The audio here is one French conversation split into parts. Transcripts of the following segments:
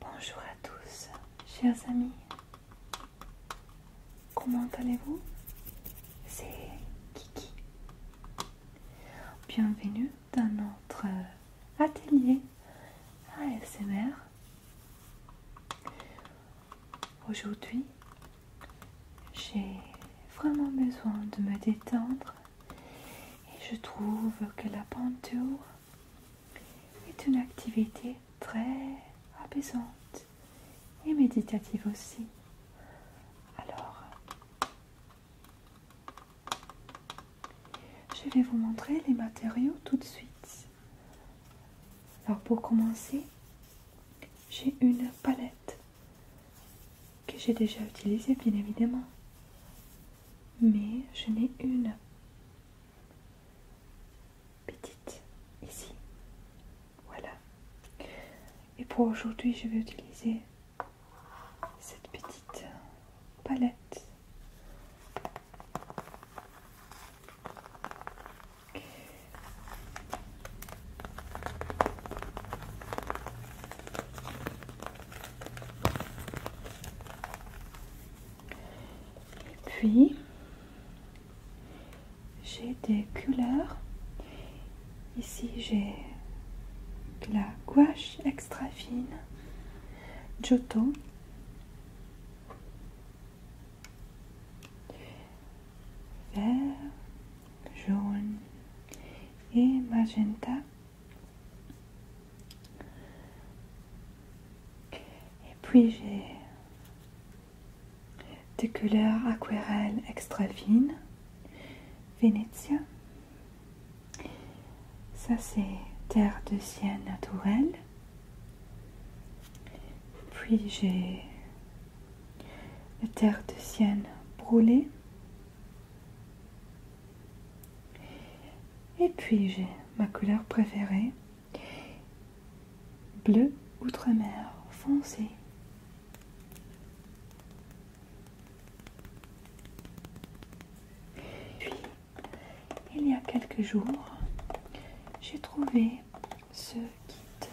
Bonjour à tous, chers amis. Comment allez-vous C'est Kiki. Bienvenue d'un autre euh, atelier ASMR. Ah, Aujourd'hui, j'ai vraiment besoin de me détendre et je trouve que la peinture est une activité très apaisante et méditative aussi. Alors, je vais vous montrer les matériaux tout de suite. Alors pour commencer, j'ai une palette que j'ai déjà utilisée bien évidemment. Mais je n'ai une petite ici. Voilà. Et pour aujourd'hui, je vais utiliser cette petite palette. puis j'ai des couleurs. Ici j'ai de la gouache extra fine, Giotto, vert, jaune et magenta. Et puis j'ai des couleurs aquarelles extra fines, venezia ça, c'est terre de sienne naturelle, Puis j'ai la terre de sienne brûlée. Et puis j'ai ma couleur préférée, bleu outre-mer foncé. Puis, il y a quelques jours, j'ai trouvé ce kit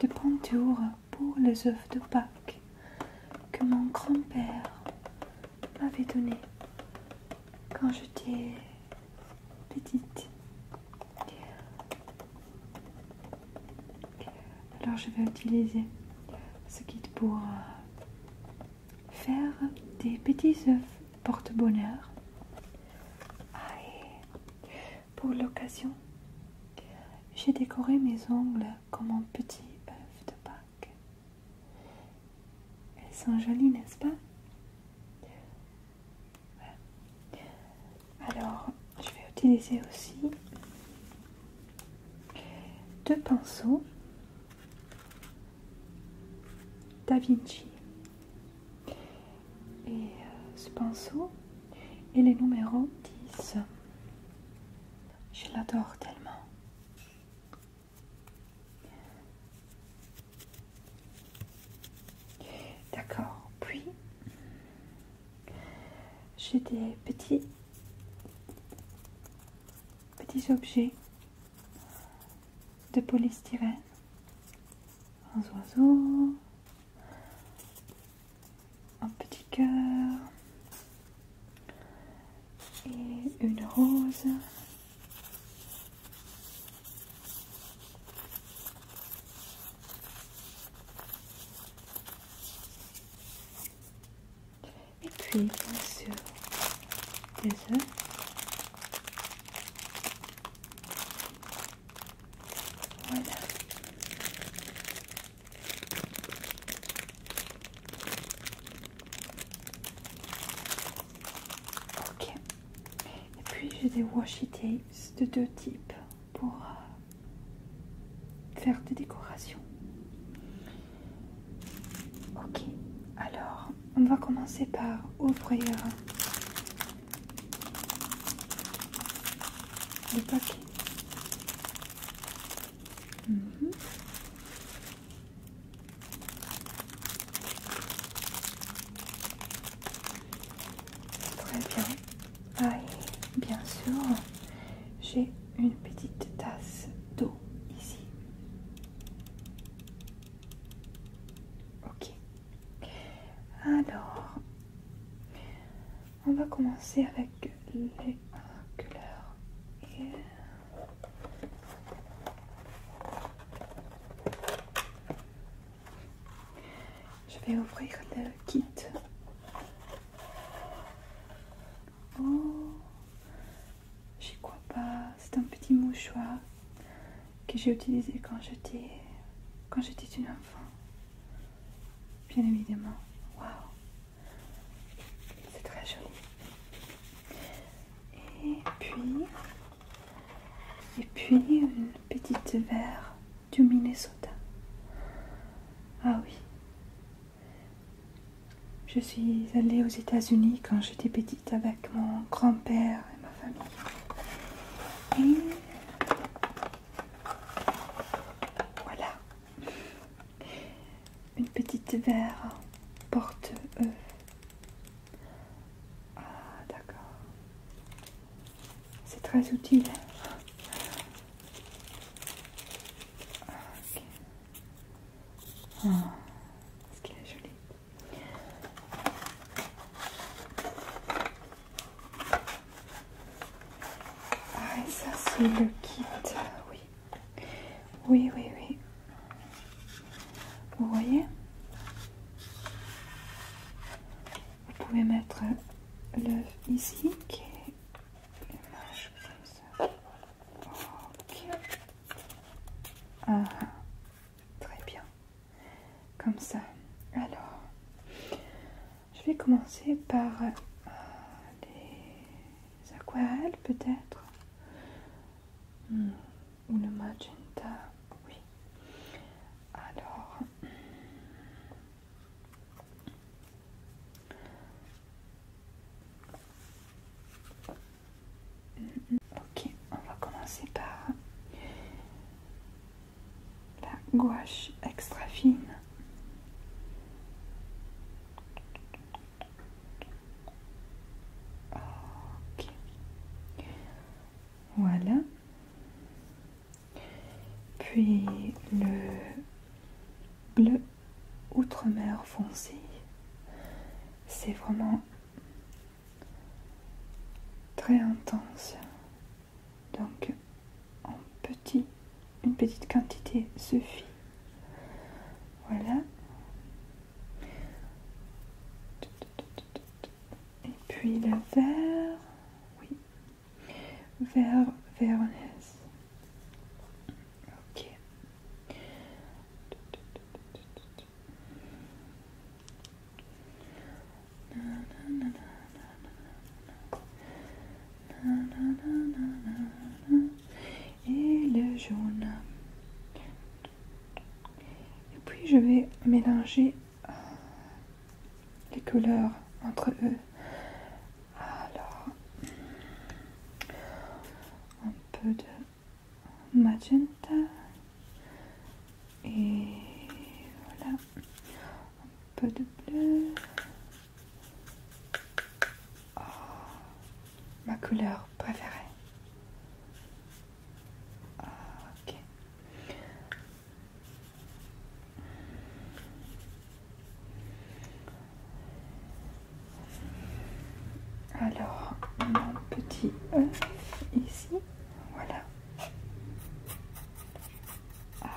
de peinture pour les œufs de Pâques que mon grand-père m'avait donné quand j'étais petite. Alors je vais utiliser ce kit pour euh, faire des petits œufs porte-bonheur. pour l'occasion, j'ai décoré mes ongles comme un petit œuf de Pâques. Elles sont jolies, n'est-ce pas Alors, je vais utiliser aussi deux pinceaux Da Vinci. Et euh, ce pinceau est le numéro 10. Je l'adore tellement. D'accord, puis j'ai des petits petits objets de polystyrène, un oiseau, un petit cœur et une rose et puis monsieur, des œufs. Voilà. Ok. Et puis j'ai des washi tapes de deux types pour euh, faire des décorations. Ok, alors on va commencer par ouvrir le paquet. Mhm. Très bien. Ah, bien sûr, j'ai une petite tasse d'eau ici. Ok. Alors, on va commencer avec les couleurs. Je vais ouvrir le kit Oh, j'y crois pas. C'est un petit mouchoir que j'ai utilisé quand j'étais quand j'étais une enfant. Bien évidemment. Waouh, c'est très joli. Et puis, et puis une petite verre du Minnesota. Ah oui, je suis allée aux États-Unis quand j'étais petite avec mon grand-père et ma famille. Et voilà. Une petite verre porte-œuf. Ah, d'accord. C'est très utile. Ah, ok. Ah, ce qu'il est joli. Ah, et ça, c'est le kit. Oui. Oui, oui, oui. Vous voyez Vous pouvez mettre l'œuf ici, qui est comme ça. Ah, très bien. Comme ça. Alors, je vais commencer par euh, les aquarelles peut-être. Ou hmm. le magenta. Oui. Alors, Ok, on va commencer par la gouache extra fine. Ok, voilà. Puis le bleu outre-mer foncé. C'est vraiment très intense. Donc en petit, une petite quantité suffit. Voilà. Et puis le vert. Oui. Vert, vernez. Ok. Et le jaune. Et puis je vais mélanger les couleurs entre eux. Alors, un peu de magenta. Et voilà, un peu de bleu. Ah, ma couleur préférée. Ah, alors, mon petit œuf ici, voilà. Ah.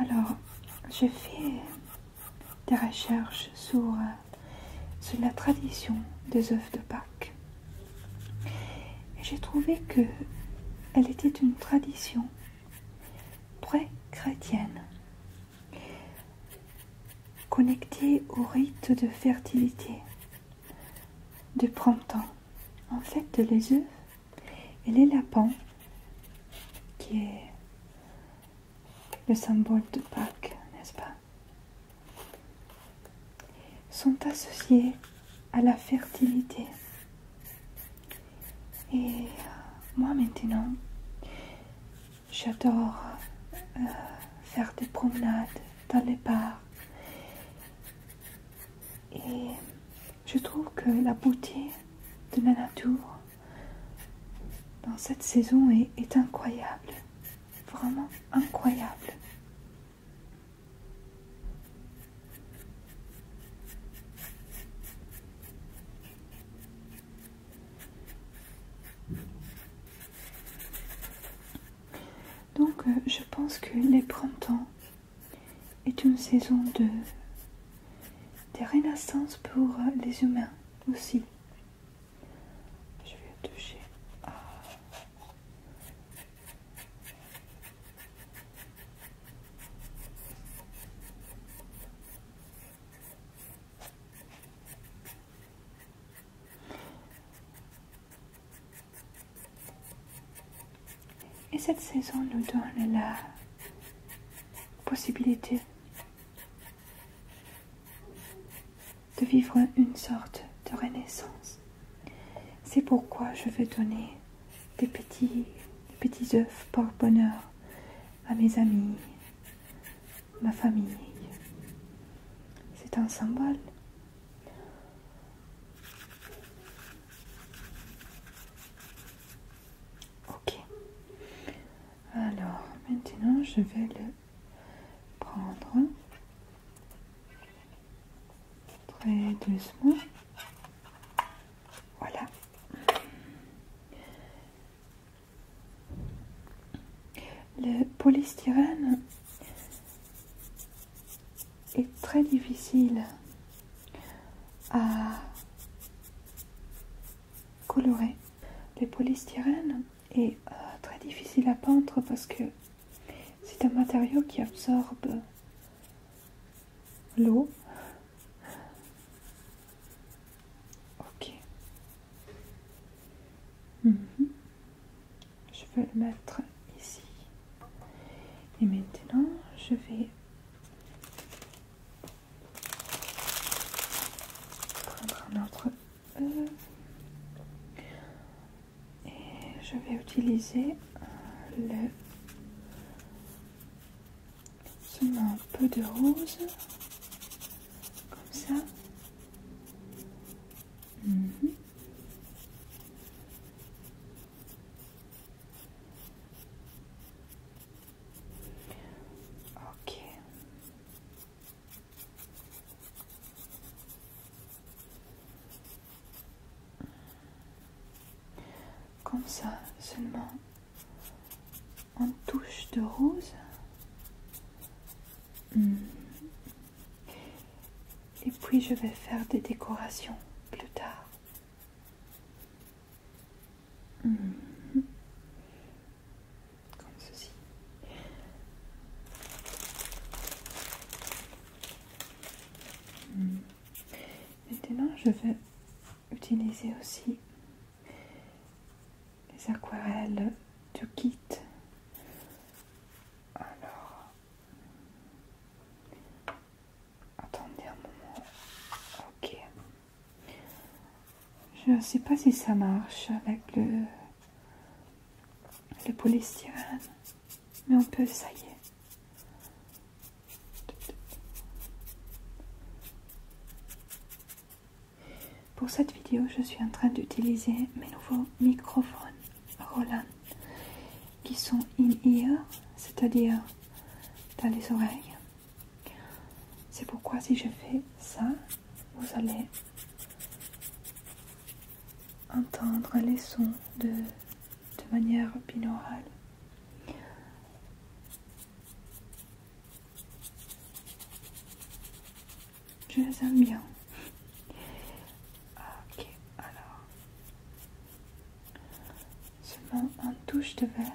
Alors, j'ai fait des recherches euh, sur, la tradition des œufs de Pâques. Et j'ai trouvé que elle était une tradition très chrétienne, connectée au rite de fertilité, du printemps, en fait les œufs et les lapins, qui est le symbole de Pâques, n'est-ce pas, sont associés à la fertilité. Et euh, moi maintenant, j'adore euh, faire des promenades dans les parcs. Et je trouve que la beauté de la nature dans cette saison est incroyable. Vraiment incroyable. Donc euh, je pense que les printemps est une saison de, des renaissance pour euh, les humains aussi. Je vais toucher. Et cette saison nous donne la possibilité de vivre une sorte de renaissance. C'est pourquoi je veux donner des petits, des petits œufs par bonheur à mes amis, ma famille. C'est un symbole. Ok. Alors, maintenant, je vais le prendre très doucement. Voilà. Le polystyrène est très difficile à colorer. Le polystyrène est euh, très difficile à peindre parce que c'est un matériau qui absorbe l'eau. Ok. Mhm. Je vais le mettre ici. Et maintenant, je vais prendre un autre euh, Et je vais utiliser le se un peu de rose, comme ça. Mhm. Ok. Comme ça, seulement en touche de rose. Hmm. Et puis je vais faire des décorations plus tard. Hmm. Comme ceci. Hmm. Maintenant je vais utiliser aussi les aquarelles du kit. Alors, attendez un moment. Ok. Je ne sais pas si ça marche avec le, le polystyrène, mais on peut, ça y est. Pour cette vidéo, je suis en train d'utiliser mes nouveaux microphones Roland qui sont in-ear, c'est-à-dire dans les oreilles. C'est pourquoi si je fais ça, vous allez entendre les sons de, manière binaurale. Je les aime bien. Ah, ok, alors. Seulement un touche de verre,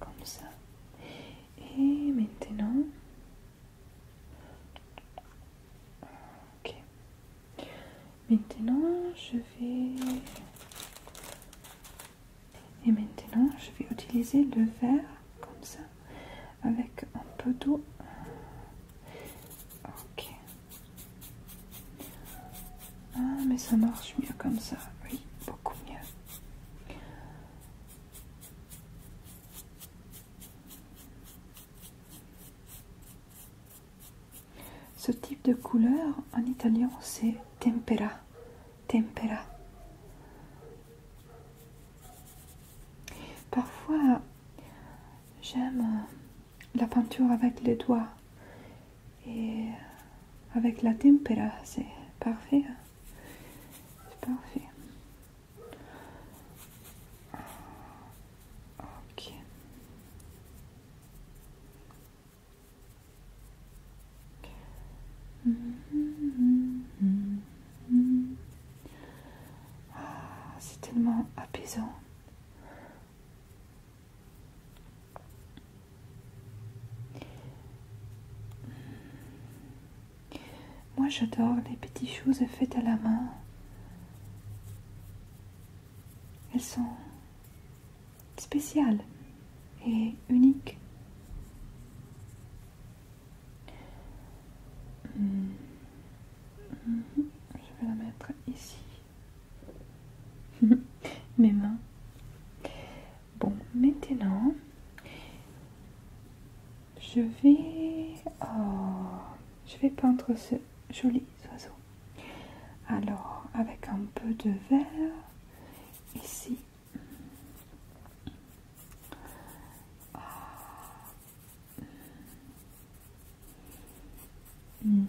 comme ça. Et maintenant... Ok. Maintenant, je vais... Et maintenant, je vais utiliser le verre comme ça, avec un peu d'eau. Ok. Ah, mais ça marche mieux comme ça. Oui, beaucoup mieux. Ce type de couleur en italien c'est tempera. Tempera. Parfois j'aime la peinture avec les doigts et avec la tempera, c'est parfait. Hein. C'est parfait. Ok. Ah, c'est tellement apaisant. Moi j'adore les petites choses faites à la main. Elles sont Spéciale et unique. Hmm. Je vais la mettre ici. Mes mains. Bon, maintenant, je vais, oh, je vais peindre ce joli oiseau. Alors, avec un peu de verre, ici. Ah. Mhm.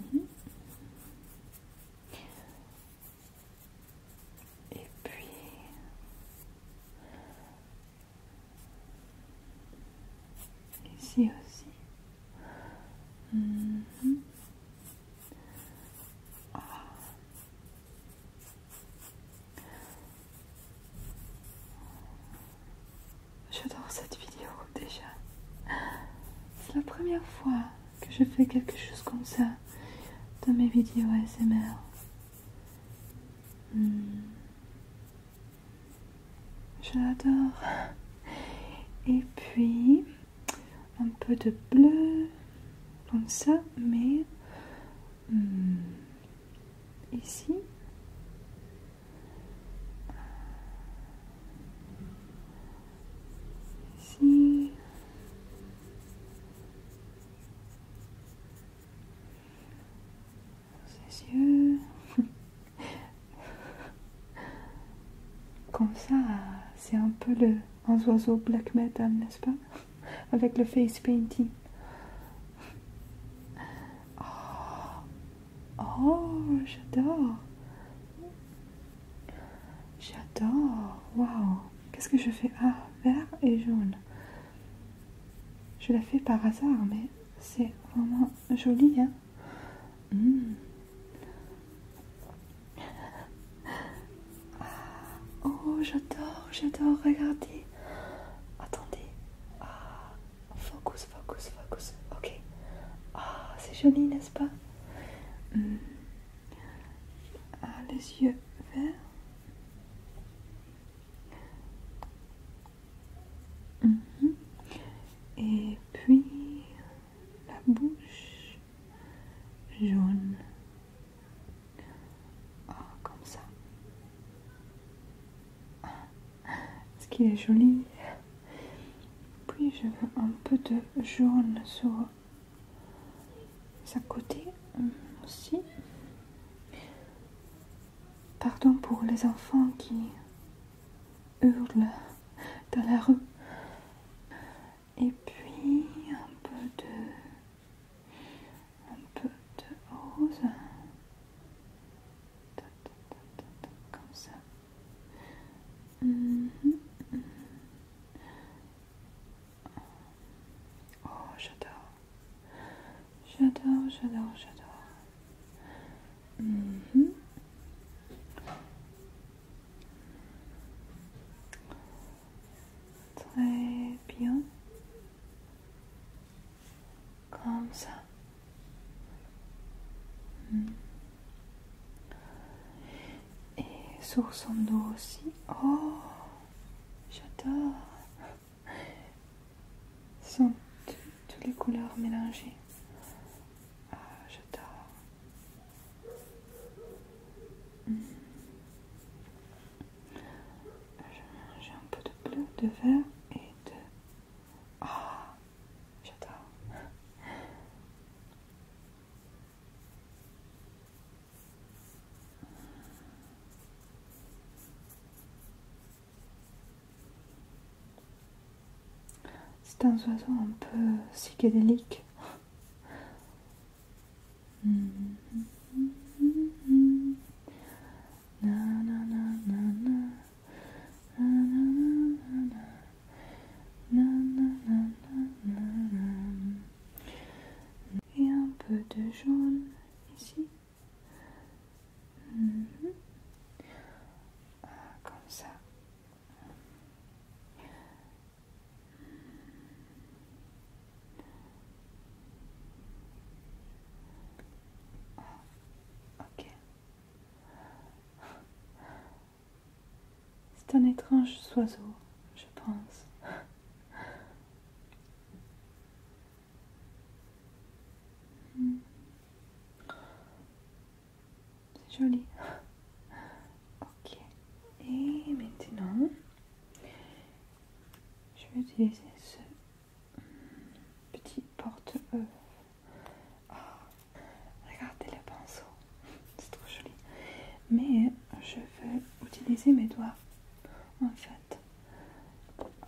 Et puis ici aussi. Mhm. J'adore cette vidéo déjà. C'est la première fois que je fais quelque chose comme ça dans mes vidéos ASMR. Hmm. J'adore. Et puis un peu de bleu comme ça mais hmm, ici ici ses yeux Comme ça, c'est un peu le, un oiseau black metal, n'est-ce pas Avec le face painting. Oh, oh, j'adore J'adore Waouh Qu'est-ce que je fais Ah, vert et jaune. Je la fais par hasard, mais c'est vraiment joli, hein Mm. Oh, j'adore, j'adore, regardez. Attendez. Ah, focus, focus, focus. Ok. Ah, c'est joli, n'est-ce pas mm. ah, Les yeux verts. Mm-hmm. Et puis la bouche jaune, ah, comme ça. ce qui est joli Puis je veux un peu de jaune sur sa côté euh, aussi. Pardon pour les enfants qui hurlent dans la rue et puis un peu de un peu de rose comme ça mhm, mhm. oh j'adore j'adore j'adore j'adore mhm. Très bien. Comme ça. Hmm. Et sur son dos aussi. Oh, j'adore. sont toutes les couleurs mélangées. Ah, j'adore. J'ai un peu de bleu, de vert et de... ah, j'adore. C'est un oiseau un peu psychédélique. Et un peu de jaune ici. Mhm. Ah, comme ça. C'est un étrange oiseau, je pense. C'est joli. Ok. Et maintenant, je vais utiliser ce hmm, petit porte-œuf. Ah, regardez le pinceau. C'est trop joli. Mais je vais utiliser mes doigts. En fait. Ah.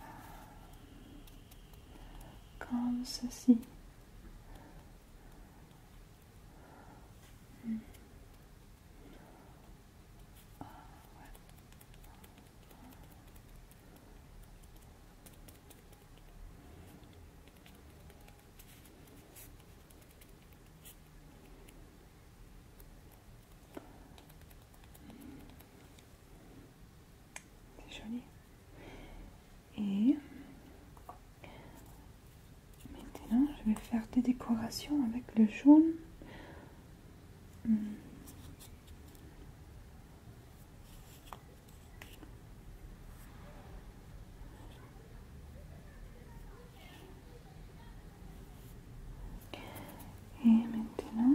Comme ceci. Ah C'est joli. Et maintenant, je vais faire des décorations avec le jaune. Et maintenant,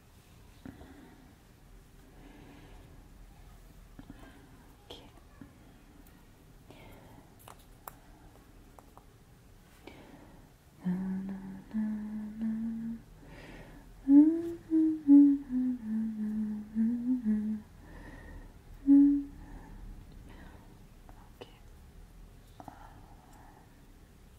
Okay. Na, na, na, na. Na, na, na, na, na, na, na. Okay.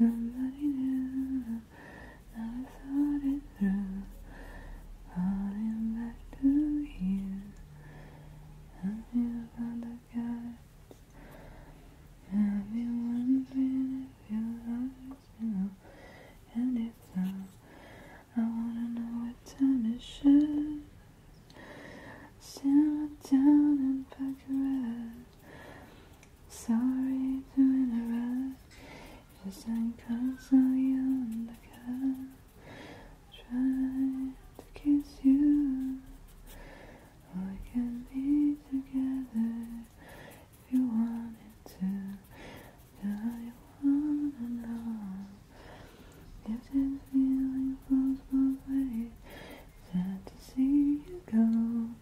Nobody knew. Never thought it through. Falling back to you. Help me find the guts. I've been your heart is real. And if so, I wanna know what time it's should. Settle down and pack your head. Sorry to interrupt. because I'm constantly the cut. Try to kiss you. We can be together if you wanted to. Now you wanna know. Gives it a feeling flows both ways. Sad to see you go.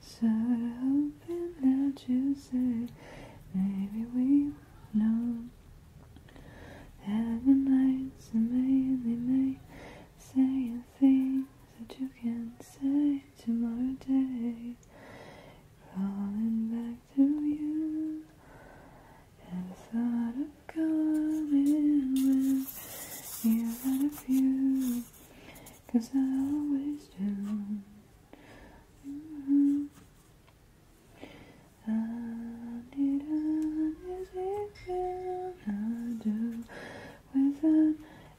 so hoping that you say maybe we know. Heaven lights amazing me, saying things that you can't say tomorrow day. Calling back to you. And thought of coming with you thought of you, cause I always do. Mm-hmm. I need an easy thing I do with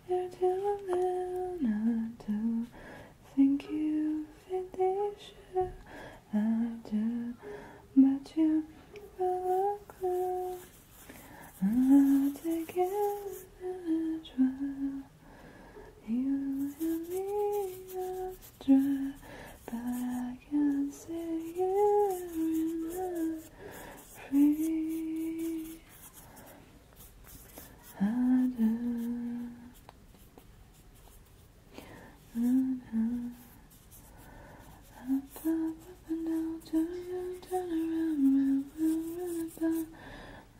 your telling I do think you fit the issue after but you are close I'll take it and try you and me astray but I can see you in free I do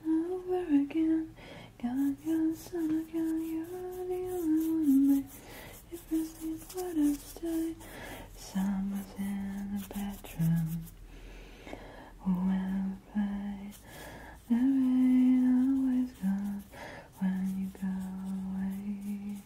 over again, God, God, Son of God, you're the only one that if this is what I say, someone's in the bedroom. Well, I there ain't always gone when you go away.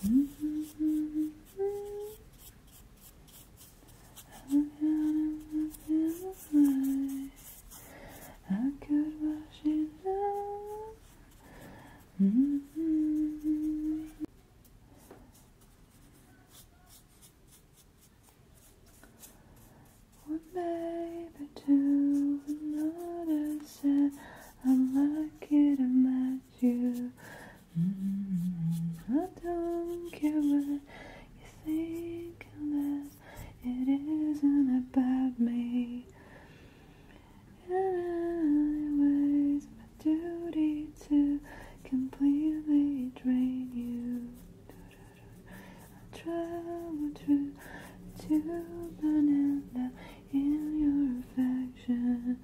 I could wash it down. One baby two, another said, I'm lucky to met you. Mm-hmm. I don't care what you think unless it isn't about me. And I it's my duty to completely drain you. I travel through to banana in your affection.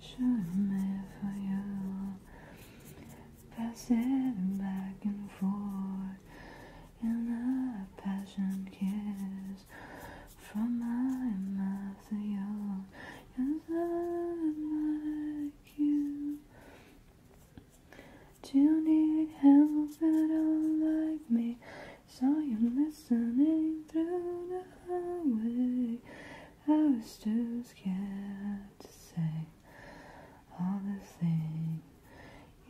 Shine for you. Pass it back and forth in a passion kiss from my mouth to yours. Yes, I'm like you. Do you need help at all like me? So you're listening through the away. I was too scared to say all the things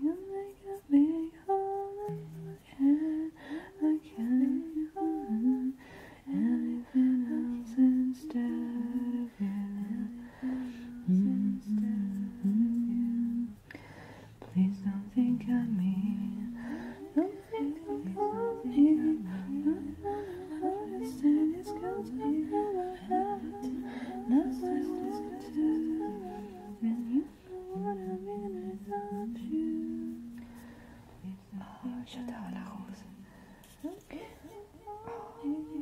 you make a big hole in my head. I can't you hold anything else instead of you. Please don't think of me. J'adore la rose.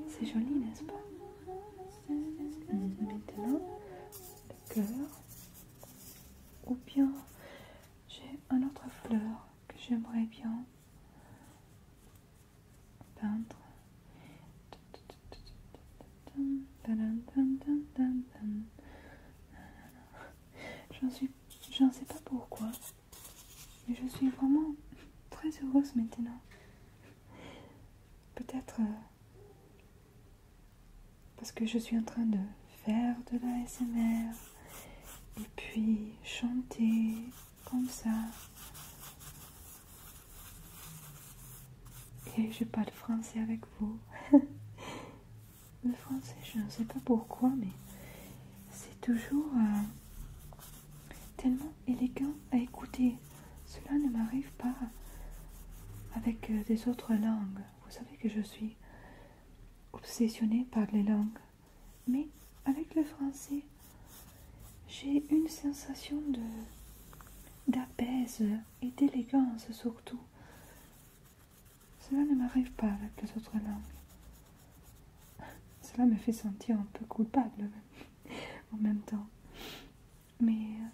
c'est joli, n'est-ce pas Maintenant, le cœur. Ou bien j'ai un autre fleur que j'aimerais bien peindre. J'en suis, j'en sais pas pourquoi, mais je suis vraiment très heureuse maintenant. Peut-être euh, parce que je suis en train de faire de la SMR et puis chanter comme ça. Et je parle français avec vous. Le français, je ne sais pas pourquoi, mais c'est toujours euh, tellement élégant à écouter. Cela ne m'arrive pas avec euh, des autres langues. Vous savez que je suis obsessionnée par les langues. Mais avec le français, j'ai une sensation de d'apaise et d'élégance surtout. Cela ne m'arrive pas avec les autres langues. Cela me fait sentir un peu coupable en même temps. Mais euh,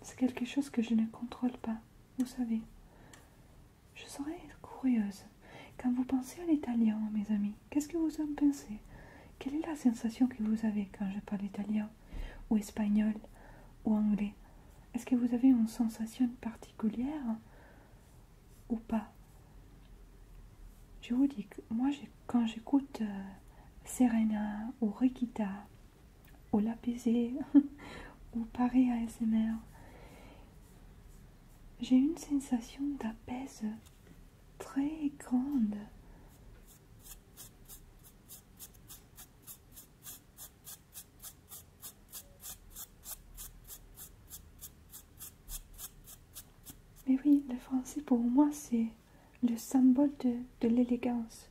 c'est quelque chose que je ne contrôle pas, vous savez. Je serais curieuse. Quand vous pensez à l'italien, mes amis, qu'est-ce que vous en pensez Quelle est la sensation que vous avez quand je parle italien, ou espagnol, ou anglais Est-ce que vous avez une sensation particulière ou pas Je vous dis que moi, quand j'écoute euh, Serena ou Requita ou Lapaisé ou paré ASMR, j'ai une sensation d'apaise très grande. Mais oui, le français pour moi c'est le symbole de l'élégance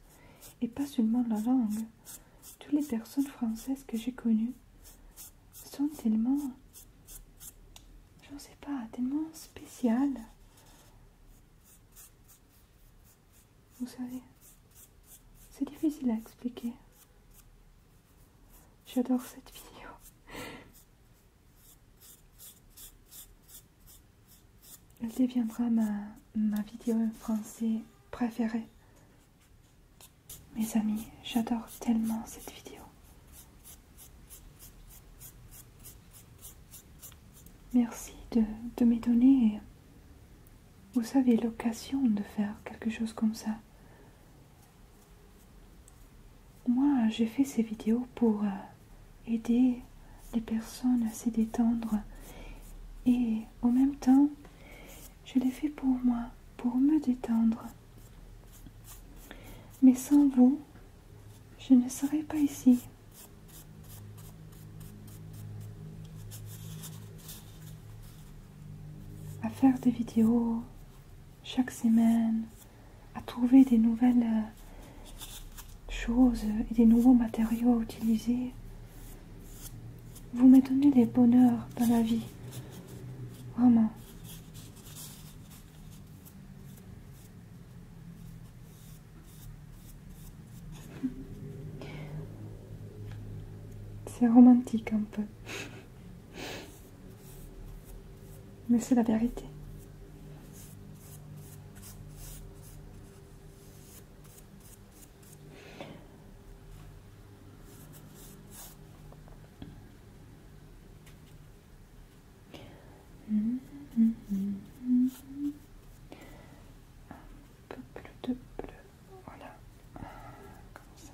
et pas seulement la langue. Toutes les personnes françaises que j'ai connues sont tellement, je ne sais pas, tellement spéciales. Vous savez, c'est difficile à expliquer. J'adore cette vidéo. Elle deviendra ma, ma vidéo en français préférée. Mes amis, j'adore tellement cette vidéo. Merci de, m'étonner vous savez, l'occasion de faire quelque chose comme ça. Moi, j'ai fait ces vidéos pour euh, aider les personnes à se détendre et en même temps je l'ai fait pour moi, pour me détendre. Mais sans vous, je ne serais pas ici. À faire des vidéos chaque semaine, à trouver des nouvelles euh, choses et des nouveaux matériaux à utiliser, vous m'étonnez des bonheurs dans la vie. Vraiment. C'est romantique un peu. Mais c'est la vérité. Un peu plus de bleu, voilà, comme ça.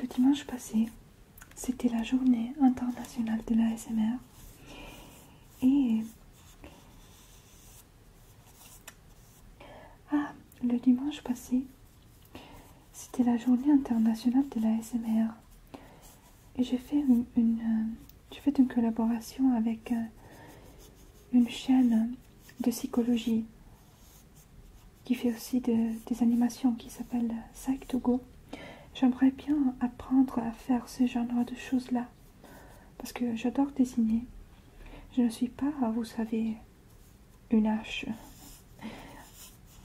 Le dimanche passé, c'était la journée internationale de la SMR. et ah, le dimanche passé, c'était la journée internationale de la SMR. et j'ai fait j'ai fait une collaboration avec euh, une chaîne de psychologie qui fait aussi des animations qui s'appelle Psych euh, to Go. J'aimerais bien apprendre à faire ce genre de choses-là parce que j'adore dessiner. Je ne suis pas, vous savez, une hache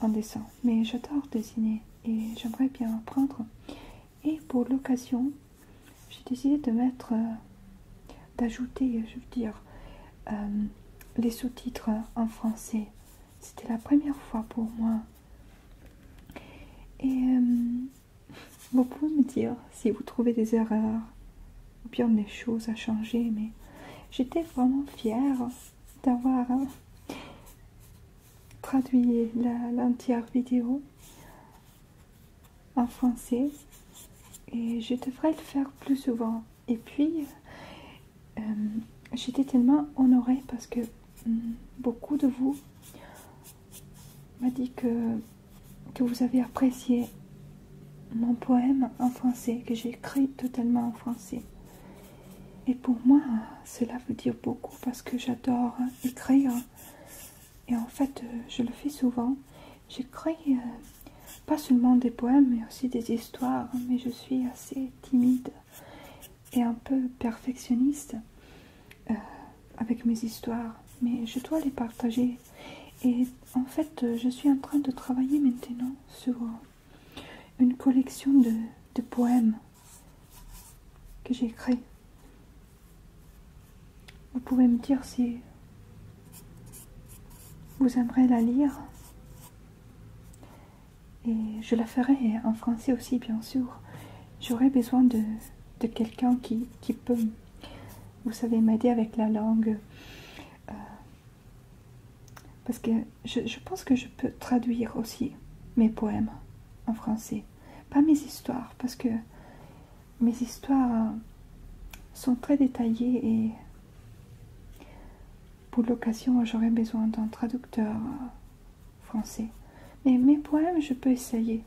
en dessin, mais j'adore dessiner et j'aimerais bien apprendre. Et pour l'occasion, j'ai décidé de mettre, euh, d'ajouter, je veux dire, euh, les sous-titres en français. C'était la première fois pour moi. Et euh, vous pouvez me dire si vous trouvez des erreurs ou bien des choses à changer, mais j'étais vraiment fière d'avoir euh, traduit l'entière vidéo en français et je devrais le faire plus souvent. Et puis, euh, j'étais tellement honorée parce que hmm, beaucoup de vous m'a dit que, que vous avez apprécié mon poème en français, que j'ai écrit totalement en français. Et pour moi, cela veut dire beaucoup parce que j'adore écrire. Et en fait, euh, je le fais souvent. J'écris euh, pas seulement des poèmes, mais aussi des histoires, mais je suis assez timide et un peu perfectionniste euh, avec mes histoires, mais je dois les partager. Et en fait, je suis en train de travailler maintenant sur une collection de, de poèmes que j'ai créés. Vous pouvez me dire si vous aimerez la lire et je la ferai en français aussi, bien sûr. J'aurais besoin de, de quelqu'un qui, qui peut, vous savez, m'aider avec la langue. Euh, parce que je, je pense que je peux traduire aussi mes poèmes en français. Pas mes histoires, parce que mes histoires sont très détaillées et pour l'occasion, j'aurais besoin d'un traducteur euh, français. Mais mes poèmes, je peux essayer.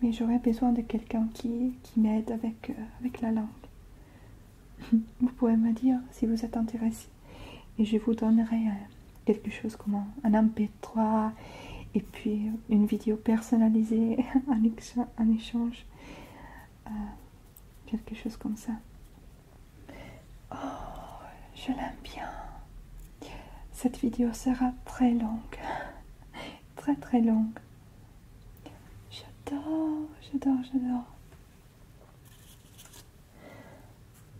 Mais j'aurais besoin de quelqu'un qui, qui m'aide avec, euh, avec la langue. vous pouvez me dire si vous êtes intéressé. Et je vous donnerai euh, quelque chose comme un, MP3 et puis une vidéo personnalisée en, échange quelque chose comme ça. Oh, je l'aime bien. Cette vidéo sera très longue, très très longue. J'adore, j'adore, j'adore.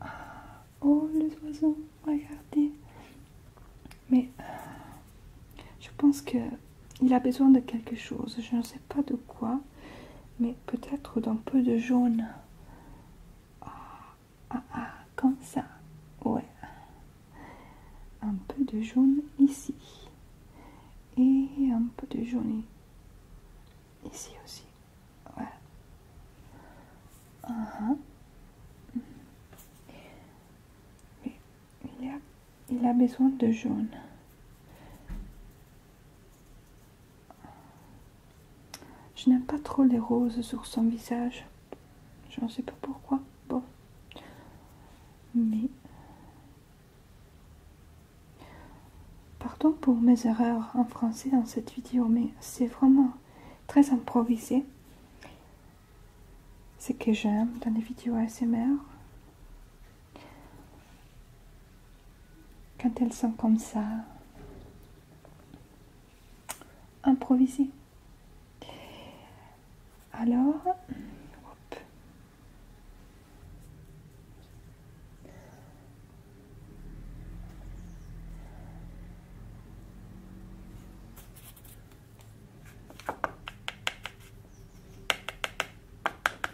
Ah, oh, les oiseaux, regardez. Mais euh, je pense que il a besoin de quelque chose, je ne sais pas de quoi, mais peut-être d'un peu de jaune. Ah, ah, ah comme ça, ouais. Un peu de jaune ici. Et un peu de jaune ici aussi. Voilà. Ah, mais il y a il a besoin de jaune. Je n'aime pas trop les roses sur son visage. Je ne sais pas pourquoi. Bon. Mais. Pardon pour mes erreurs en français dans cette vidéo, mais c'est vraiment très improvisé. C'est que j'aime dans les vidéos ASMR. Quand elles sont comme ça, improvisées. Alors,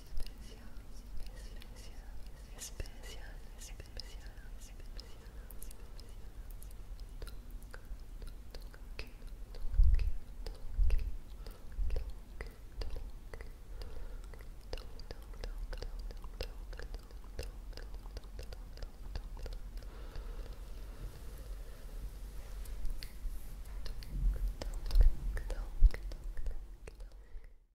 spécial